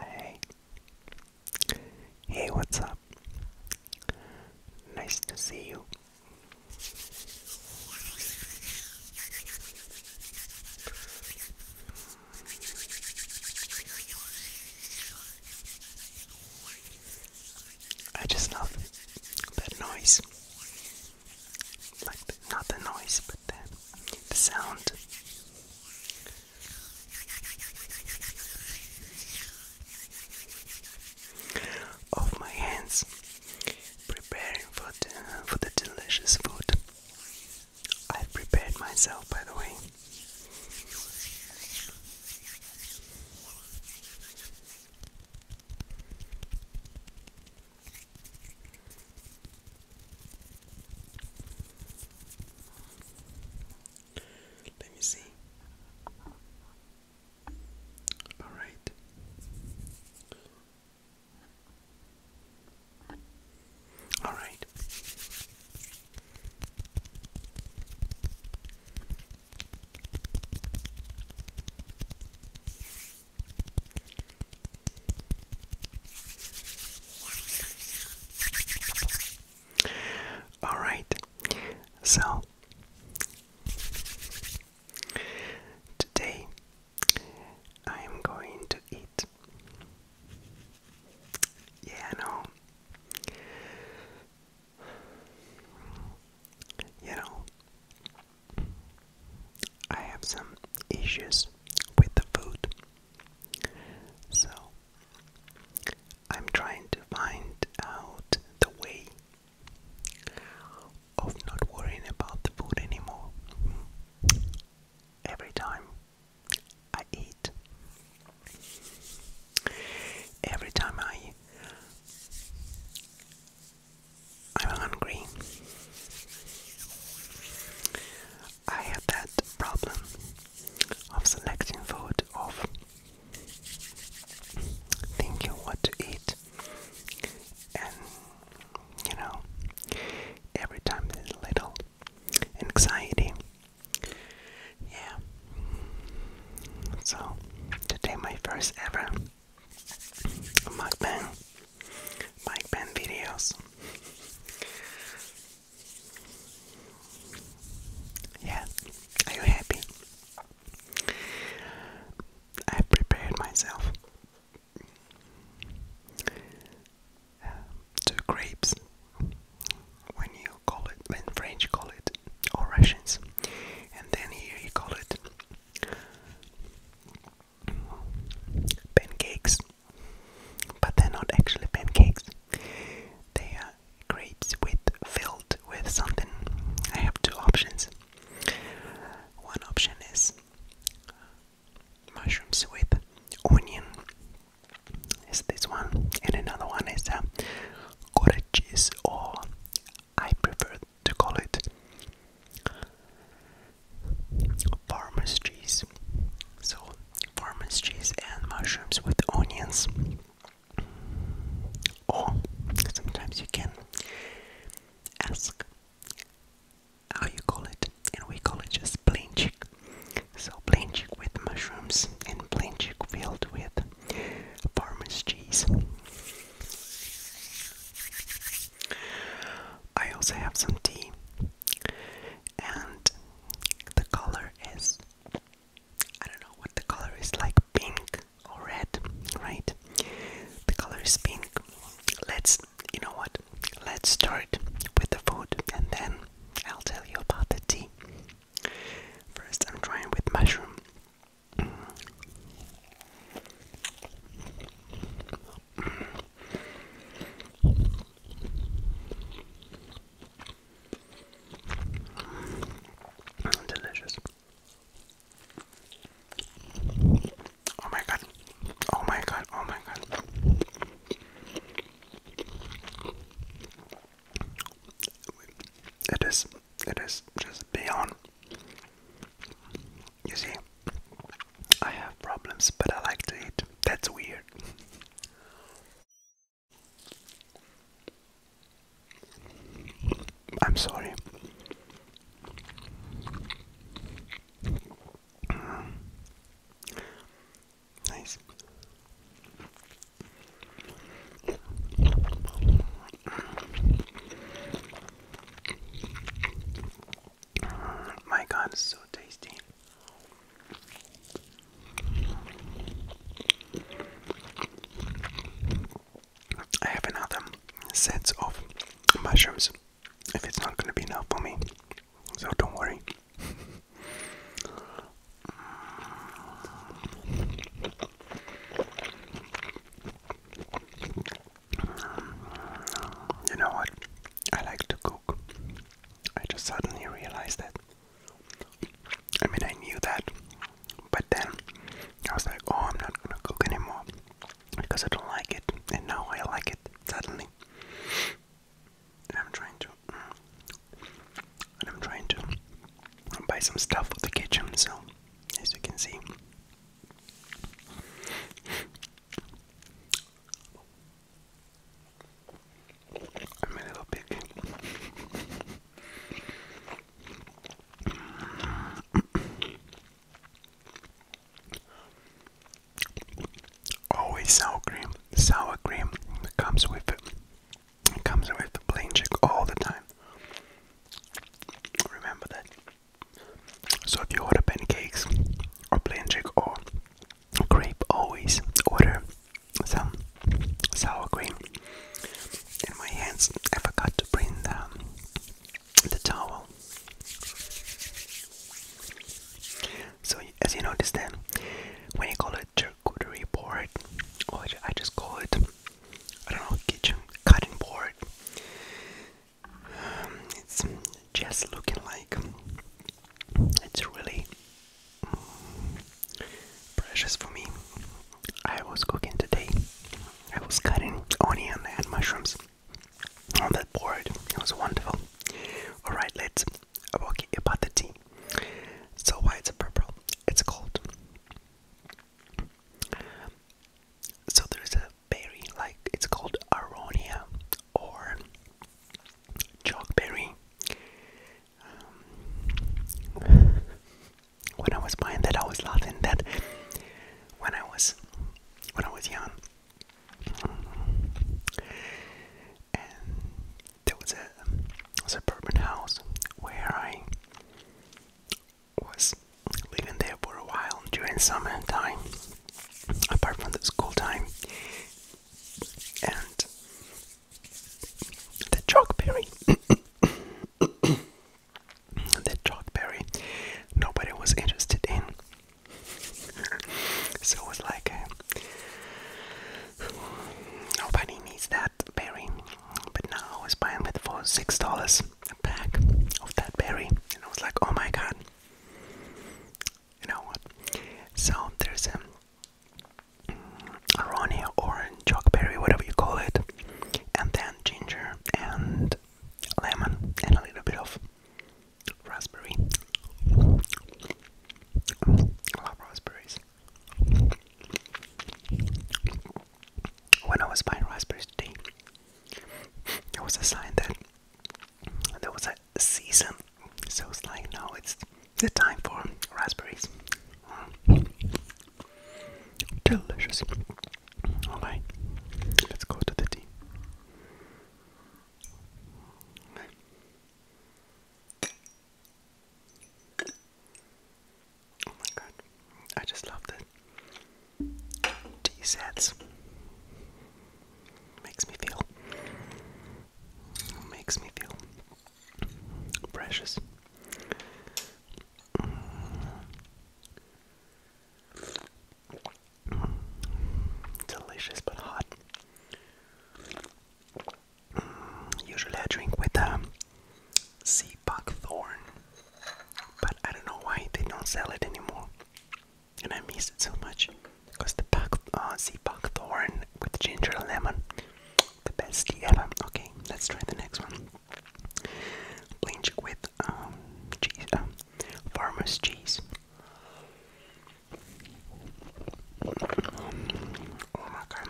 Hey. Hey, what's up? Nice to see you. I just love that noise. Like, not the noise, but the, the sound. Of my hands, preparing for the, for the delicious food. I prepared myself, by the way. Let me see. All right. All right. All right, so today I am going to eat. Yeah, no. You know, I have some issues with the food. So I'm trying to find out the way of not worrying about the food anymore. Every time I eat, every time I I'm hungry. I have that problem of selecting food, of thinking what to eat, and you know, every time there's little anxiety. Yeah. So today my first ever mukbang bike pen videos. yeah, are you happy? I prepared myself. Uh, two grapes, when you call it, when French call it, or Russians, and then here you call it pancakes, but they're not actually pancakes. They are grapes with filled with something. I have two options. One option is mushrooms with onion. Is this one, and another one is a cottage cheese, or I prefer to call it farmer's cheese. So, farmer's cheese and mushrooms with onions. Or sometimes you can ask how you call it, and we call it just plain chicken. So, plain chick with mushrooms and plain chicken filled with farmer's cheese. I also have some tea, and the color is I don't know what the color is like pink or red, right? The color is pink. Let's, you know what? Let's start with the food and then I'll tell you about the tea. First, I'm trying with mushroom. Delicious. Oh my god. Oh my god. Oh my god. It is it is just beyond you see, I have problems, but I like to eat. That's weird. I'm sorry. nice. Mm, my god, it's so tasty. I have another set of mushrooms if it's not gonna be enough for me, so don't worry. Um, you know what? I like to cook. I just suddenly realized that. I mean, I knew that, but then I was like, oh, I'm not gonna cook anymore because I don't like it, and now I like it suddenly. I'm trying to. I'm trying to buy some stuff for the kitchen, so as you can see, I'm a little picky. Always sour cream. Sour cream it comes with it. comes with the plain chick all the time. Remember that. So if you order pancakes or plain chick or grape, always order some sour cream. In my hands, I forgot to bring the, the towel. So as you notice then, when you call it charcuterie board, or I just call it, I don't know, kitchen cutting board, it's just looking like it's really precious for me. I was cooking today. I was cutting onion and mushrooms on that board. It was wonderful. All right, let's talk about the tea. So why it's purple? It's cold. So there's a berry, like it's called aronia or chalkberry. Um, when I was buying that, I was laughing that when I was when I was young, and there was a suburban house where I was living there for a while during summer time, apart from the school time. And the chalkberry, the chalkberry, nobody was interested in. so it was like, uh, nobody needs that berry. But now I was buying it for $6 a pack of that berry, and I was like, oh my god. You know what? So there's a um, Ronnie or Jockberry, whatever you call it, and then ginger and lemon and a little bit of raspberry. love raspberries. When I was buying raspberries today, there was a sign that there was a season, so it's like now it's the time for raspberries. Delicious. Alright, let's go to the tea. Oh my god, I just love this. D sets. Makes me feel. Makes me feel precious. Delicious but hot. Usually I drink with a um, sea buckthorn, but I don't know why they don't sell it anymore and I miss it so much because the pack, uh, sea buckthorn with ginger lemon, the best tea ever. Okay, let's try the next one. Blinch with um, cheese, um, farmer's cheese. Um, oh my god,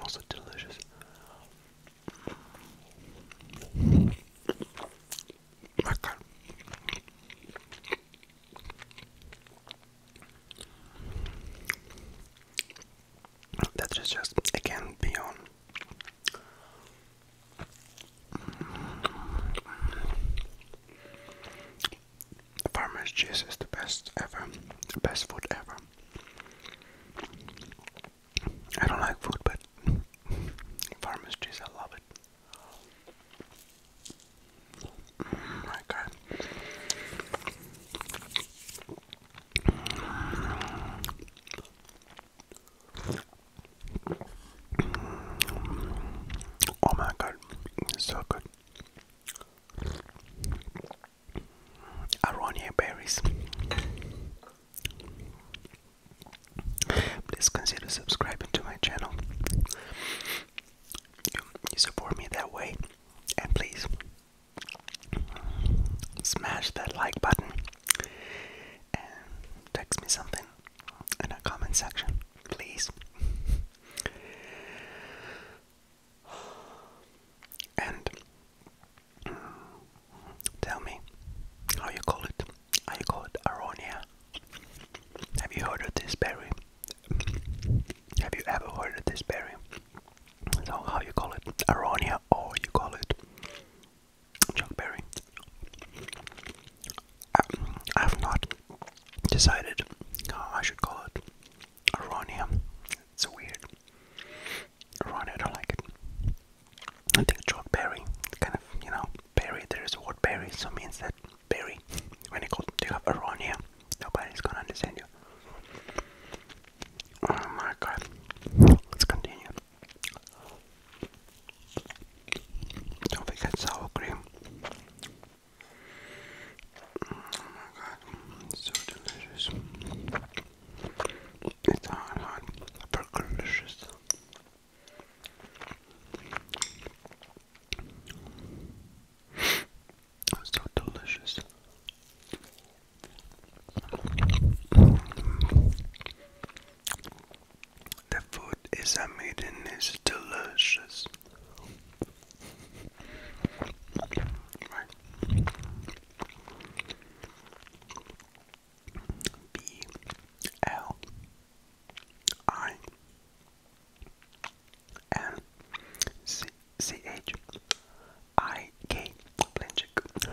also delicious. My God. That is just again beyond. Farmer's cheese is the best ever, the best food ever. I don't like food, but pharmacies, I love it. Oh my god. Oh my god, so good. Aronia berries. Please consider subscribing to my channel. You, support me that way. And please smash that like button and text me something in a comment section, please. And Tell me how you call it. How you call it aronia? Have you heard of this berry? Have you ever heard of this berry? So how you call it? Aronia or you call it Chuckberry? Um, I have not decided how I should call it. Aronia. It's weird. Right, I don't like it. I think chalk berry, kind of, you know, berry, there is a word berry, so means that berry. When you, call, you have Aronia, nobody's gonna understand you. Oh my god. Let's continue. Don't forget sour cream. Oh my god, so delicious. It's hot, hot, but delicious. So delicious. The food is amazing, it's delicious. B L I N C C H I K Blanchik.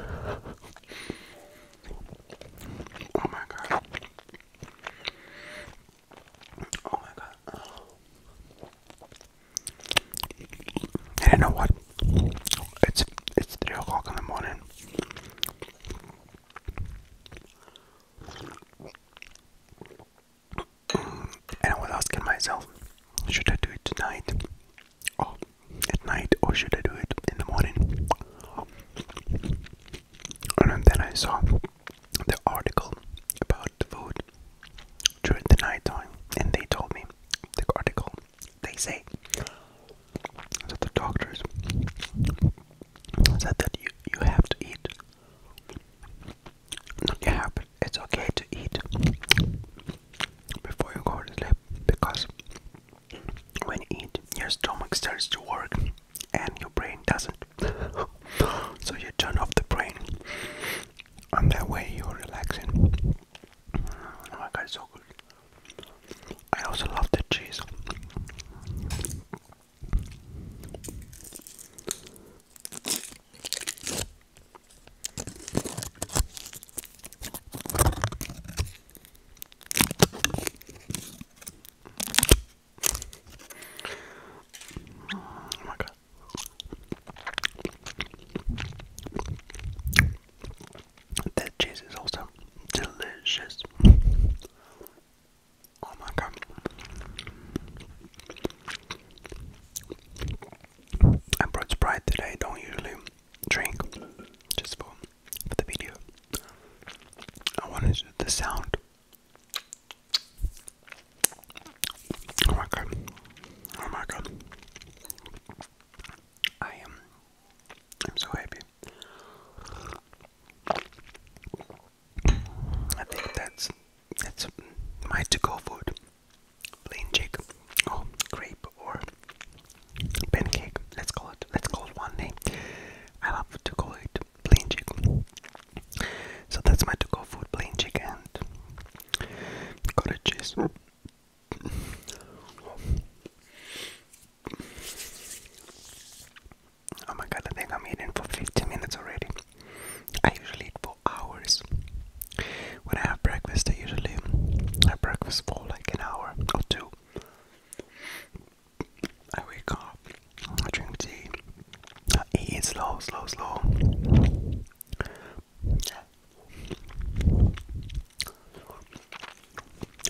Oh my god. Oh my god. I don't know what it's it's three o'clock in the morning. And I was asking myself, should I do it tonight? Oh, at night or should I do it in the morning? And then I saw the article about food during the night and they told me the article they say that the doctors said that you, you have to eat. Not you have, but it's okay to eat before you go to sleep because when you eat, your stomach starts to work and your brain doesn't. so you turn off the brain, and that way you're relaxing. Oh my god, so good. I also love the cheese. Oh my god. That cheese is also delicious. Oh my god. I brought Sprite that don't usually drink just for, for the video. I wanted the sound. Oh my god. Oh my god. I am I'm so happy. I think that's that's my to-go food. Plain chick, oh grape or pancake. Let's call it. Let's call it one name. Eh? I love to call it plain chick. So that's my to-go food: plain chick and cottage cheese. Oh my god, I think I'm eating for 15 minutes already. I usually eat for hours. When I have breakfast, I usually have breakfast for like an hour or two. I wake up, I drink tea, I eat slow, slow, slow.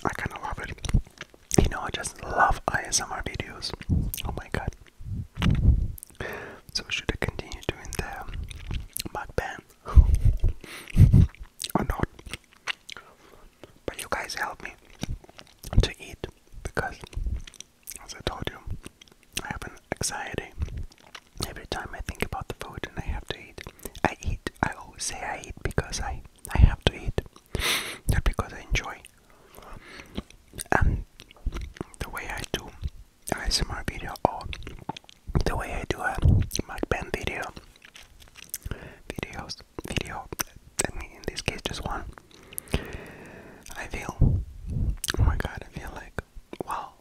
I kind of love it. You know, I just love ASMR videos. Oh my god. So, should I continue doing the mukbang or not? But you guys help me to eat because, as I told you, I have an anxiety Every time I think about the food and I have to eat, I eat. I always say I eat because I I have to eat, not because I enjoy. And the way I do ASMR video or the way I do a mukbang video, videos, video. I mean, in this case, just one. I feel, oh my god, I feel like, wow,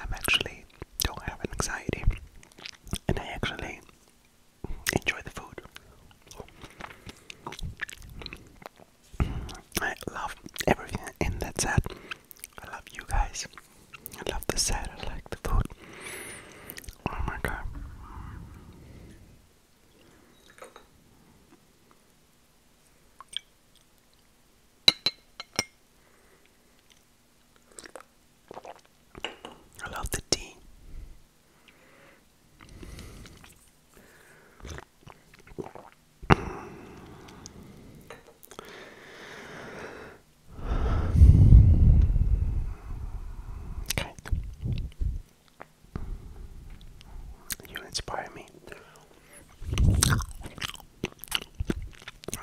I'm actually don't have anxiety and I actually enjoy the food. I love everything in that set. I love you guys. I love the set. I like the food. Oh my god. I love the tea. Okay. You inspire me.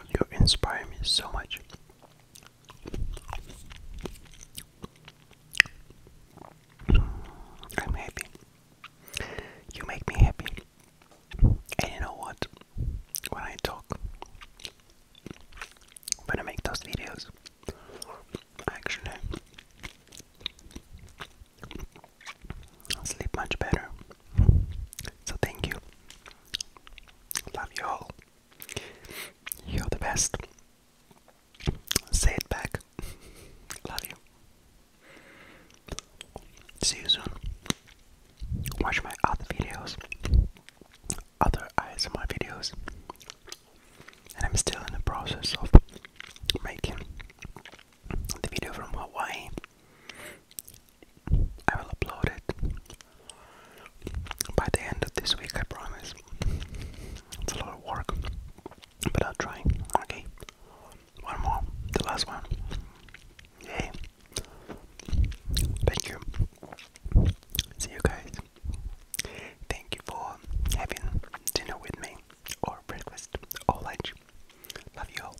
You inspire me so much. I'm happy. You make me happy. And you know what? When I talk, when I make those videos, actually, sleep much better. So thank you. Love you all. You're the best. Say it back. Love you. See you soon. Watch my other videos, other ASMR videos, and I'm still in the process of making the video from Hawaii. I will upload it by the end of this week, I promise. It's a lot of work, but I'll try. Okay, one more, the last one. Yay! Thank you. See you guys. Thank you for having dinner with me, or breakfast, or lunch. Love you all.